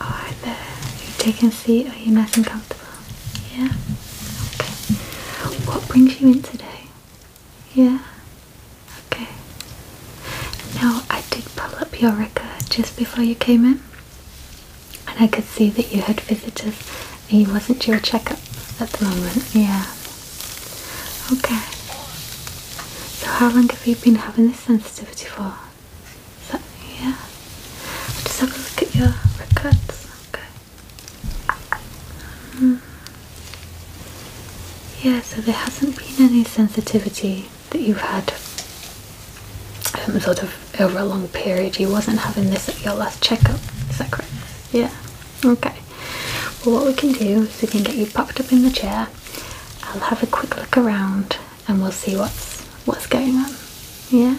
Are there, you taking a seat, are you nice and comfortable? Yeah? Okay. What brings you in today? Yeah? Okay. Now I did pull up your record just before you came in and I could see that you had visitors and you wasn't your a checkup at the moment. Yeah, Okay. So how long have you been having this sensitivity for? yeah? i just have a look at your records. Okay. Hmm. yeah, so there hasn't been any sensitivity that you've had sort of over a long period. You wasn't having this at your last checkup, is that correct? Yeah. Okay. Well, what we can do is we can get you popped up in the chair. I'll have a quick look around, and we'll see what's what's going on. Yeah.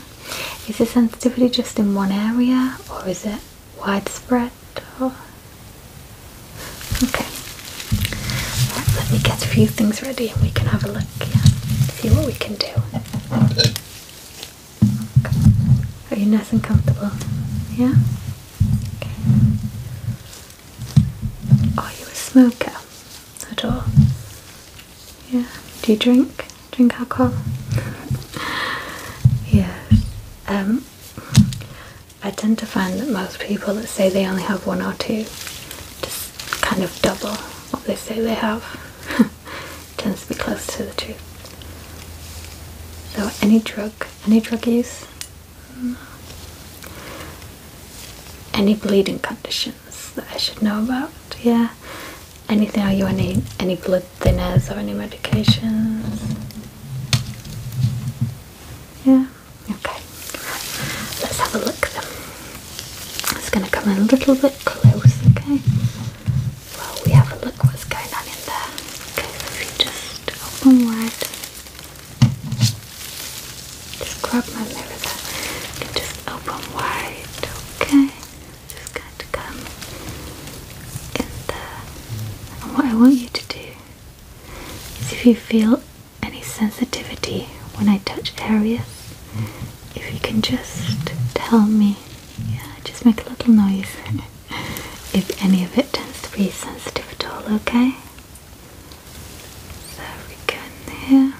Is the sensitivity just in one area, or is it widespread? okay. Right, let me get a few things ready, and we can have a look. Yeah. See what we can do. Are you nice and comfortable? Yeah? Are you a smoker at all? Yeah. Do you drink? Drink alcohol? yeah. Um I tend to find that most people that say they only have one or two just kind of double what they say they have. tends to be close to the truth. So any drug any drug use? No. Any bleeding conditions that I should know about? Yeah. Anything? Are you on any any blood thinners or any medications? Yeah. Okay. Let's have a look. Then it's going to come in a little bit close. Okay. Well, we have a look what's going on in there. Okay, so if you just open wide, just grab my mirror there. You can just open wide, okay? Just going to come in there. And what I want you to do is if you feel any sensitivity when I touch areas, if you can just tell me, yeah, just make a little noise. if any of it tends to be sensitive at all, okay? So we go in here.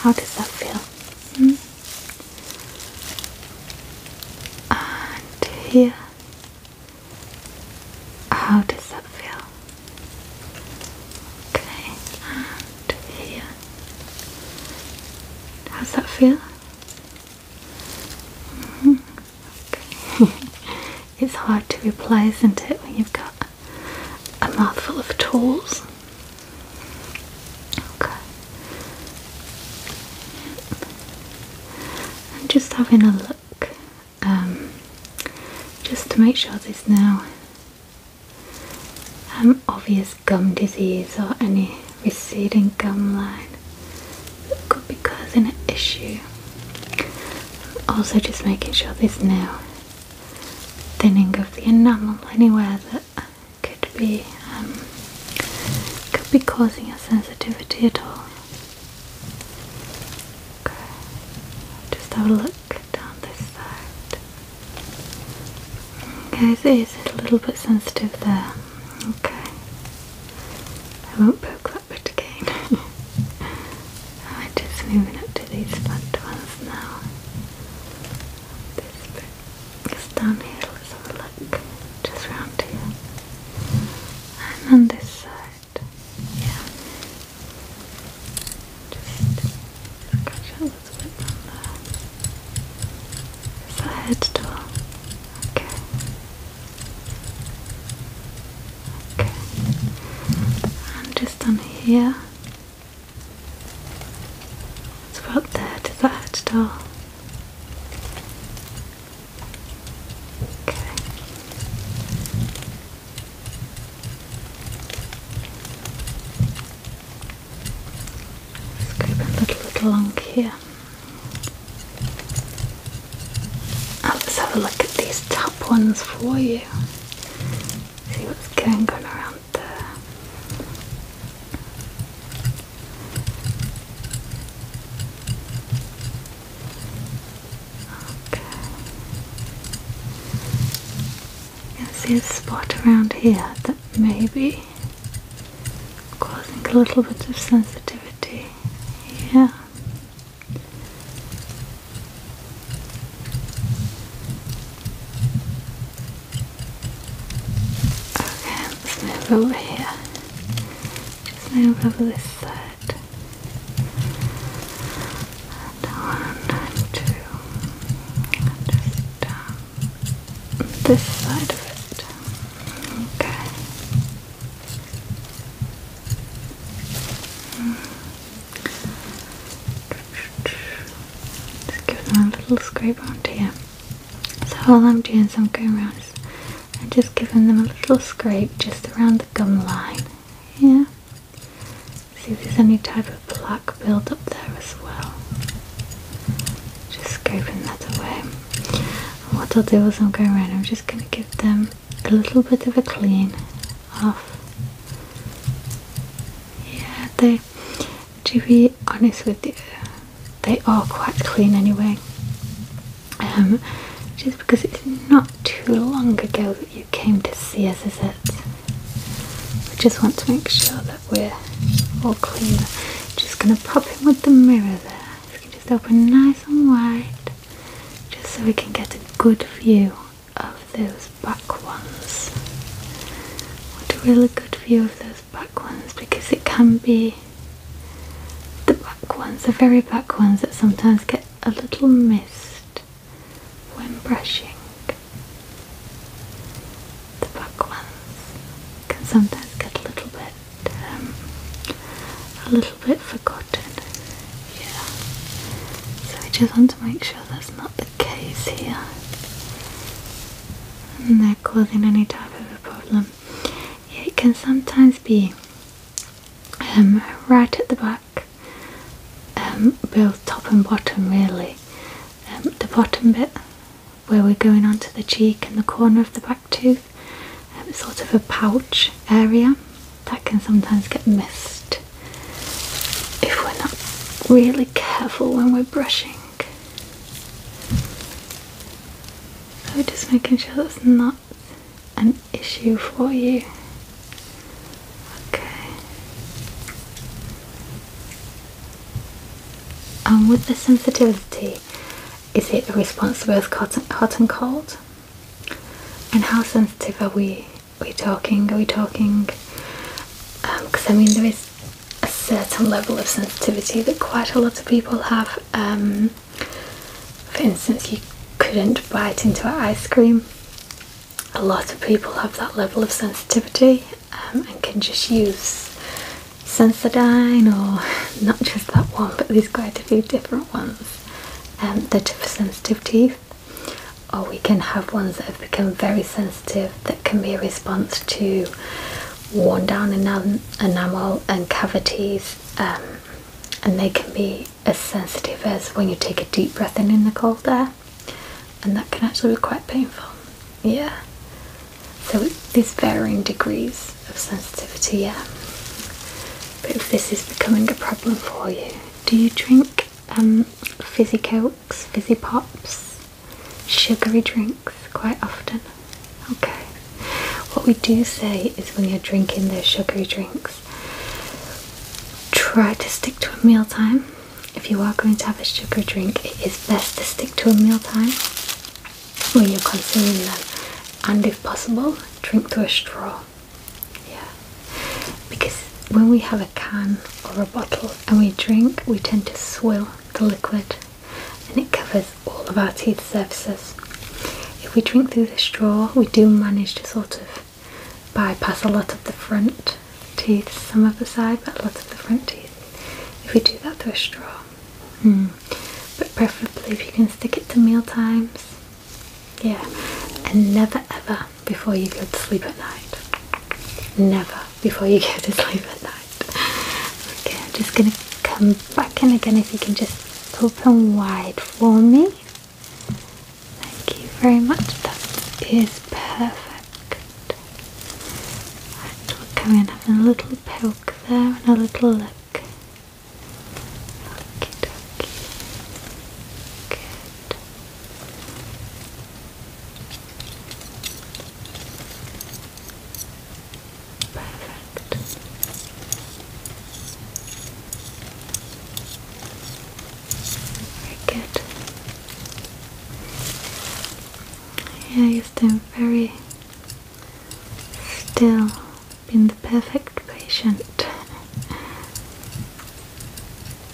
How does that feel? Hmm? And here. How does that feel? Okay, and here. How's that feel? it's hard to replace, isn't it, when you've got a mouthful of tools? Okay. I'm just having a look, um, just to make sure there's no um, obvious gum disease or any receding gum line could be causing an issue. also just making sure there's no thinning of the enamel anywhere that could be um, could be causing a sensitivity at all. Okay. Just have a look down this side. Okay, so it is a little bit sensitive there. Okay. I won't poke that bit again. Oh, I'm just moving up to these flat ones now. This bit. It's down here, let's have Just round here. And on this side. Yeah. Just, a little bit on there. Is that head tool? Okay. Okay. And just on here. It's about there to the head tool. Okay. Let's go a little bit along here. let's have a look at these top ones for you. See what's going on around there. Okay. You can see a spot around here that maybe causing a little bit of sensitivity. Yeah. Okay, let's move over here. let move over this side. one two. just down this side of it. Okay. Just give them a little scrape onto here. So all I'm doing is I'm going around is just giving them a little scrape just around the gum line. Yeah. See if there's any type of Black plaque build up there as well. Just scraping that away. what I'll do is I'm going around, I'm just going to give them a little bit of a clean off. Yeah, they, to be honest with you, they are quite clean anyway. Um, just because it's not too long ago that you came to see us, is it? We just want to make sure that we're all clean. Just going to pop in with the mirror there. So can just open nice and wide, just so we can get a good view of those back ones. Want a really good view of those back ones because it can be the back ones, the very back ones that sometimes get a little missed when brushing. The back ones can sometimes get a little bit, um, a little bit forgotten. Yeah. So we just want to make sure that's not the case here. And they're causing any type of a problem. it can sometimes be um, right at the back, um, both top and bottom really, um, the bottom bit where we're going onto the cheek and the corner of the back tooth, um, sort of a pouch area that can sometimes get missed if we're not really careful when we're brushing. So just making sure that's not an issue for you. Okay. And with the sensitivity, is it a response to both hot and, cold? And how sensitive are we? Are we talking? Are we talking? Because um, I mean, there is a certain level of sensitivity that quite a lot of people have. Um, for instance, you couldn't bite into an ice cream a lot of people have that level of sensitivity um, and can just use Sensodyne or not just that one but there's quite a few different ones um, that are for sensitive teeth or we can have ones that have become very sensitive that can be a response to worn down enam enamel and cavities um, and they can be as sensitive as when you take a deep breath in in the cold air and that can actually be quite painful. Yeah. So there's varying degrees of sensitivity. Yeah. But if this is becoming a problem for you, do you drink um, fizzy cokes, fizzy pops, sugary drinks quite often? Okay. What we do say is when you're drinking those sugary drinks, try to stick to a mealtime if you are going to have a sugar drink, it is best to stick to a mealtime when you're consuming them, and if possible, drink through a straw. Yeah, because when we have a can or a bottle and we drink, we tend to swill the liquid and it covers all of our teeth surfaces. If we drink through the straw, we do manage to sort of bypass a lot of the front teeth, some of the side, but a lot of the front teeth. If we do that through a straw, hmm. but preferably if you can stick it to meal times, yeah, and never ever before you go to sleep at night. Never before you go to sleep at night. Okay, I'm just gonna come back in again. If you can just open wide for me. Thank you very much. That is perfect. And we'll come and have a little poke there and a little look. Okie very good. Yeah, you've been very still, been the perfect patient.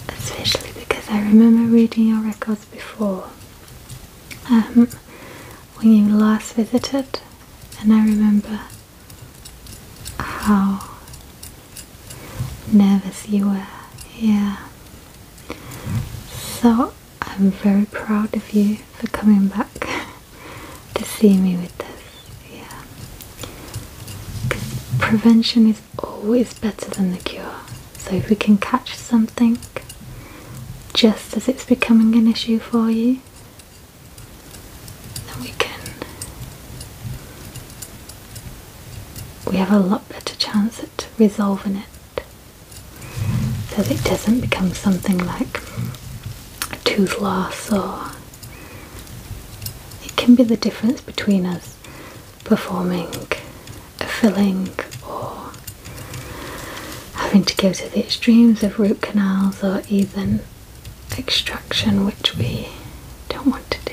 Especially because I remember reading your records before um, when you last visited, and I remember how nervous you were. Yeah. So I'm very proud of you for coming back to see me with this. Yeah. prevention is always better than the cure. So if we can catch something just as it's becoming an issue for you, then we can we have a lot better chance at resolving it so that it doesn't become something like a tooth loss or it can be the difference between us performing a filling or having to go to the extremes of root canals or even extraction, which we don't want to do.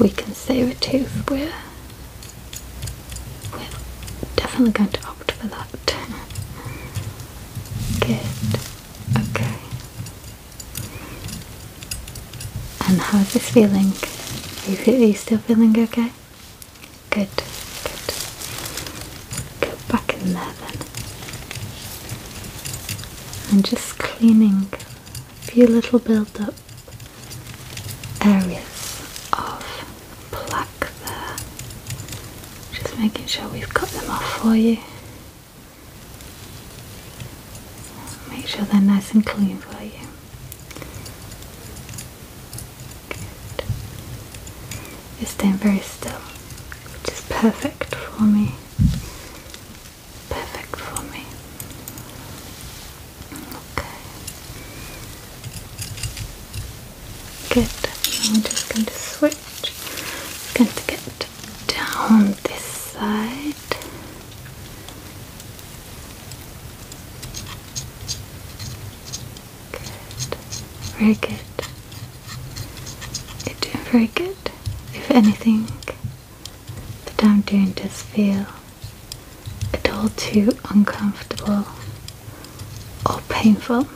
we can save a tooth, we're, we're definitely going to opt for that. Good. Okay. And how's this feeling? Are you still feeling okay? Good, good. Go back in there then and just cleaning a few little build up areas of plaque there. Just making sure we've cut them off for you. Make sure they're nice and clean for you. Good. You're very still, which is perfect for me. Perfect for me. Okay. Good. I'm just going to switch. I'm get down this side. Good. Very good. You're doing very good. If anything, that I'm doing does feel at all too uncomfortable or painful.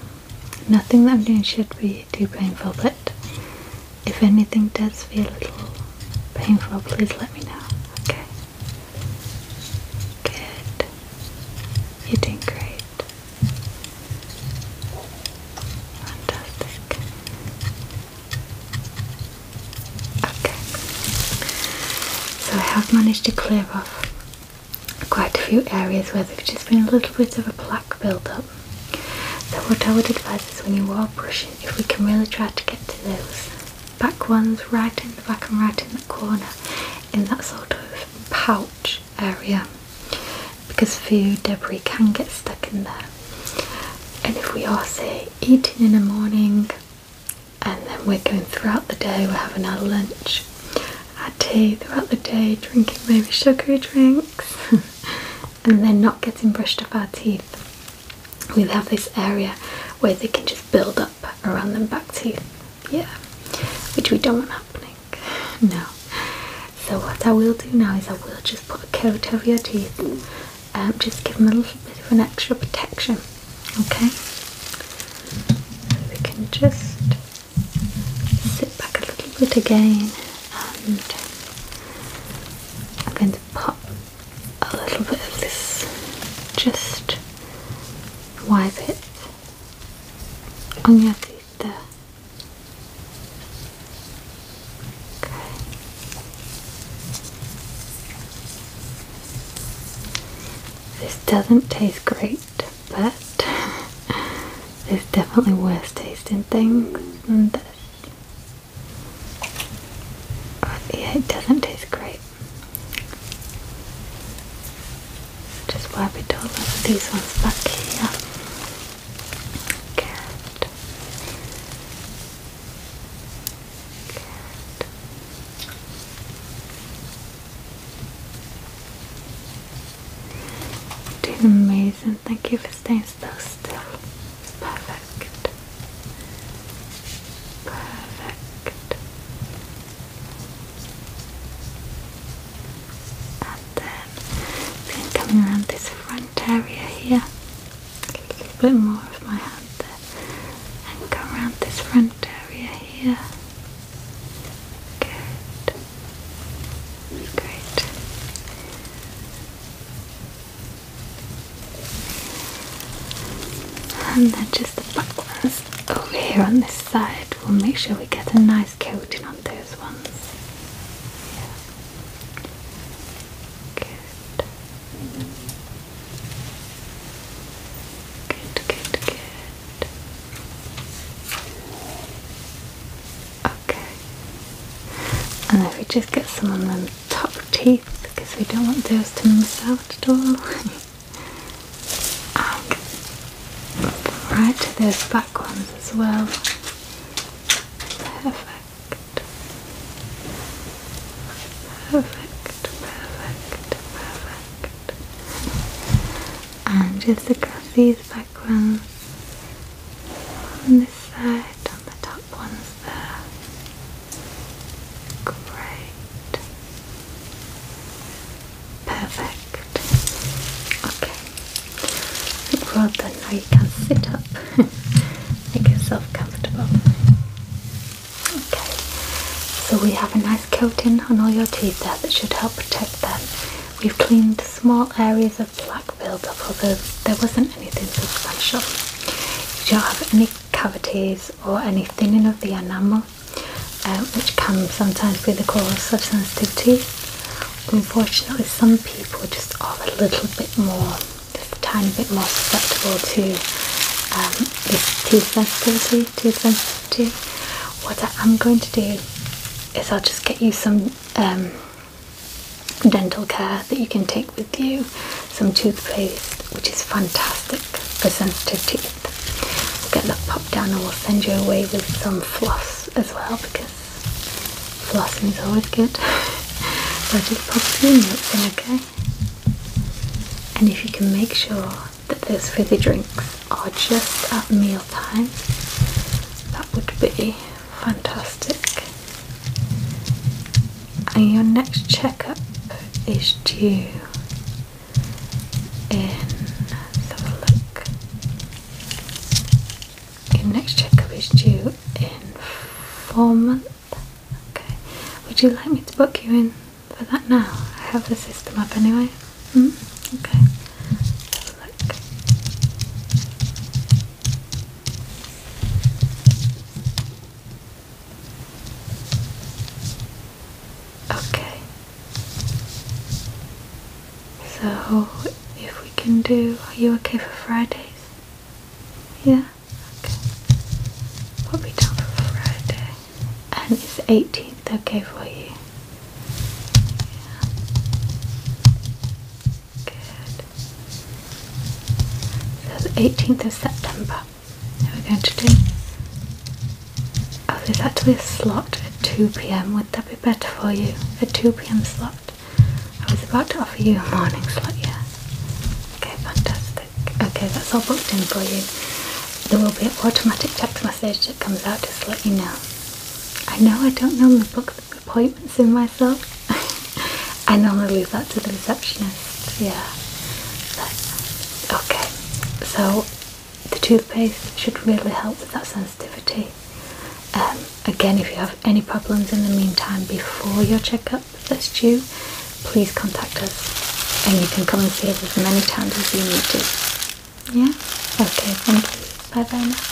Nothing that I'm doing should be too painful, but if anything does feel a little painful, please let me know. Okay. Good. You're doing great. Fantastic. Okay. So I have managed to clear off quite a few areas where there's just been a little bit of a plaque build-up. So what I would advise is when you are brushing, if we can really try to get to those back ones right in the back and right in the corner in that sort of pouch area because food debris can get stuck in there. And if we are, say, eating in the morning and then we're going throughout the day, we're having our lunch, our tea throughout the day, drinking maybe sugary drinks, and then not getting brushed off our teeth, we have this area where they can just build up around them back teeth, yeah, which we don't want happening. No. So what I will do now is I will just put a coat over your teeth. Um, just give them a little bit of an extra protection. Okay. And we can just sit back a little bit again, and I'm going to pop a little bit of this. Just wipe it on your teeth there. This doesn't taste great, but there's definitely worse tasting things than this. yeah, it doesn't taste great. Just wipe it all with these ones back here. Good. Good. amazing. Thank you for staying so still. Perfect. Perfect. And then we coming around this front area here, a bit more of my hand there, and come around this front area here. Good. Great. And then just the back ones over here on this side. We'll make sure we get a nice coating on those ones. Good. Good, good, Okay. And if we just get some on them top teeth because we don't want those to miss out at all. And um, right, those back ones as well. Perfect. Perfect, perfect, perfect. And just look at these back ones on this side, on the top ones there. Great. Perfect. Okay. Well Now you can sit up. Make yourself comfortable. Okay. So we have a nice coating on all your teeth there that should help protect them. We've cleaned small areas of black buildup, although there wasn't anything substantial. You don't have any cavities or any thinning of the enamel. Um, which comes sometimes with the cause of sensitivity. Unfortunately, some people just are a little bit more, just a tiny bit more susceptible to um, this teeth sensitivity, tooth sensitivity. What I am going to do is I'll just get you some um, dental care that you can take with you, some toothpaste, which is fantastic for sensitive teeth. We'll get that popped down and we'll send you away with some floss as well because flossing is always good. so just pop your notes in, okay? And if you can make sure that those fizzy drinks are just at mealtime, that would be fantastic. And your next checkup is due in let's have a look. Okay, next checkup is due in four months. Okay. Would you like me to book you in for that now? I have the system up anyway. Mm? Okay. look. Okay, so, if we can do, are you okay for Fridays? Yeah? Okay. We'll be down for Friday. And is 18th okay for you? Yeah. Good. So the 18th of September that we're going to do. Oh, there's actually a slot at 2pm, would that be better for you? A 2pm slot? I was about to offer you a morning slot, yeah. Okay, fantastic. Okay, that's all booked in for you. There will be an automatic text message that comes out just to let you know. I know I don't normally book appointments in myself. I normally leave that to the receptionist, yeah. okay, so the toothpaste should really help with that sensitivity. Um, again, if you have any problems in the meantime before your checkup that's due, please contact us and you can come and see us as many times as you need to. Yeah? Okay, thank you. Bye bye now.